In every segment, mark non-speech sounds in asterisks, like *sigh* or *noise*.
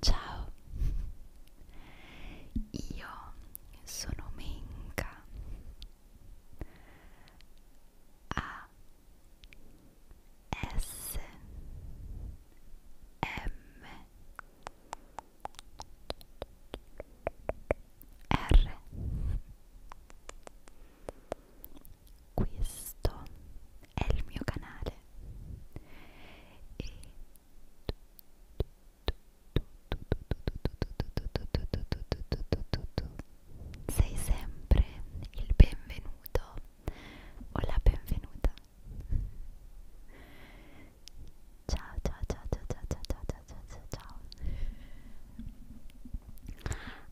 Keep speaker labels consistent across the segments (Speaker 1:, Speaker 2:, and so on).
Speaker 1: Ciao, io sono Menka. A S M R questo è il mio canale e sei sempre il benvenuto o la benvenuta. Ciao ciao ciao ciao ciao ciao ciao ciao ciao ciao.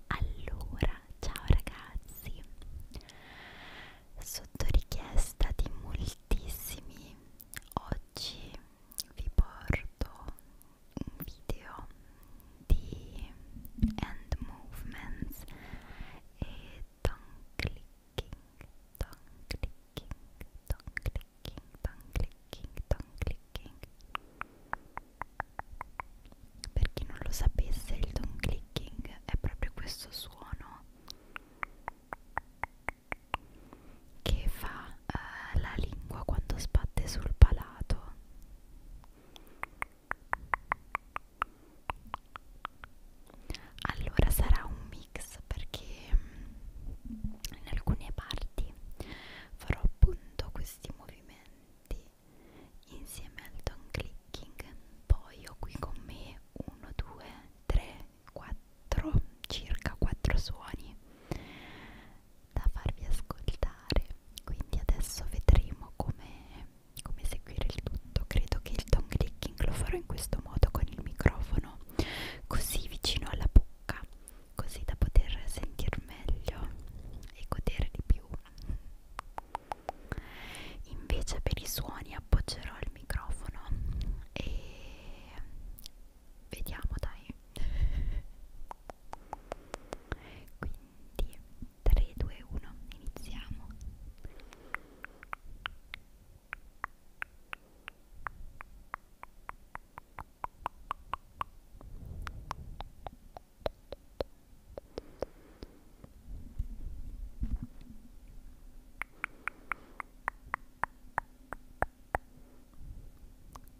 Speaker 1: Allora, ciao ragazzi. Sotto richiesta di moltissimi oggi vi porto un video di hand movements e tongue clicking, tongue clicking, tongue clicking, tongue clicking, tongue clicking. Per chi non lo sapesse, il tongue clicking è proprio questo suono che fa eh, la lingua quando sbatte sul palato allora sarà un mix perché mm, in alcune parti farò appunto questi movimenti insieme al don clicking poi ho qui con me 1 2 3 4 circa 4 suoni da farvi ascoltare quindi adesso vedremo come, come seguire il tutto credo che il tongue clicking lo farò in questo modo con il microfono così vicino alla bocca così da poter sentir meglio e godere di più invece per i suoni appoggerò il microfono e vediamo dai quindi 3, 2, 1, iniziamo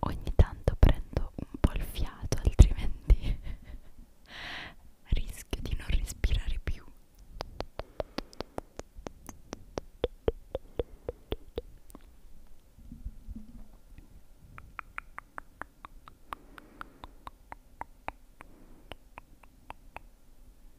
Speaker 1: Ogni tanto prendo un po' il fiato, altrimenti *laughs* rischio di non respirare più.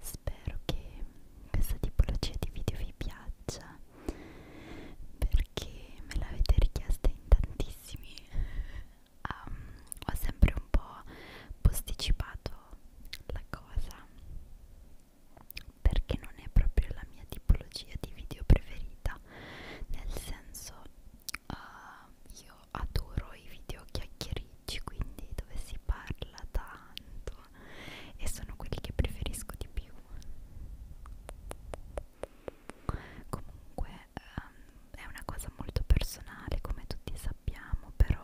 Speaker 1: Spero che questa tipologia di video vi piaccia perché me l'avete richiesta in tantissimi. *laughs* Um, ho sempre un po' posticipato la cosa perché non è proprio la mia tipologia di video preferita nel senso uh, io adoro i video chiacchiericci quindi dove si parla tanto e sono quelli che preferisco di più comunque um, è una cosa molto personale come tutti sappiamo però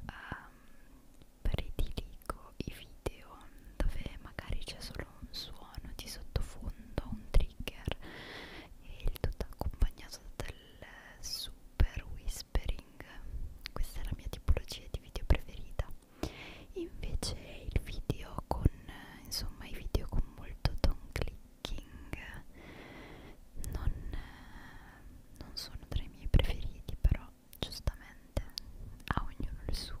Speaker 1: um, prediligo i video dove magari c'è solo un suono di sottofondo, un trigger e il tutto accompagnato del super whispering questa è la mia tipologia di video preferita invece il video con insomma i video con molto tone clicking non, non sono tra i miei preferiti però giustamente a ognuno il suo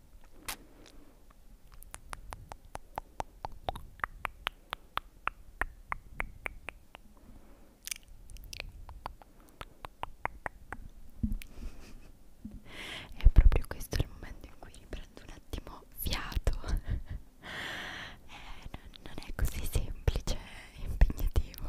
Speaker 1: è proprio questo il momento in cui riprendo un attimo fiato *laughs* eh, non, non è così semplice e impegnativo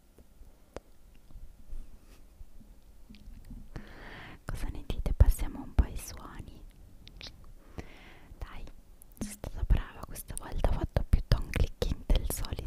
Speaker 1: Cosa ne dite? Passiamo un po' ai suoni. Dai, sono stata brava questa volta, ho fatto più tone clicking del solito.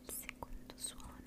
Speaker 1: Il secondo suono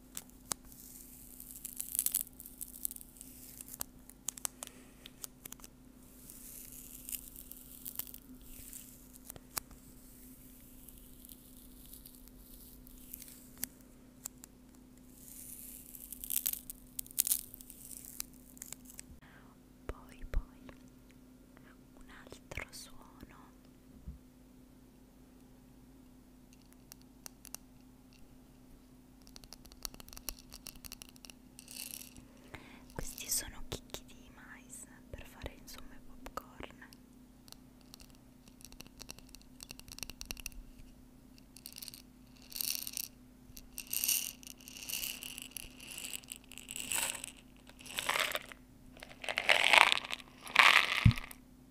Speaker 1: Poi poi un altro suono questi sono chicchi di mais per fare insomma i popcorn.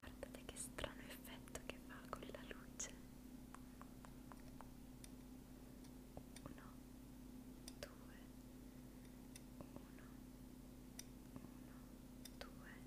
Speaker 1: Guardate che strano effetto che fa con la luce. Uno, due, uno, uno, due,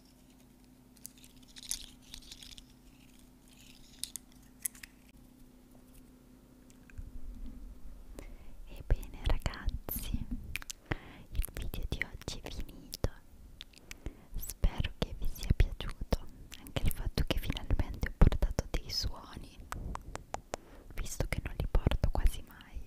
Speaker 1: Ebbene ragazzi, il video di oggi è finito. Spero che vi sia piaciuto anche il fatto che finalmente ho portato dei suoni, visto che non li porto quasi mai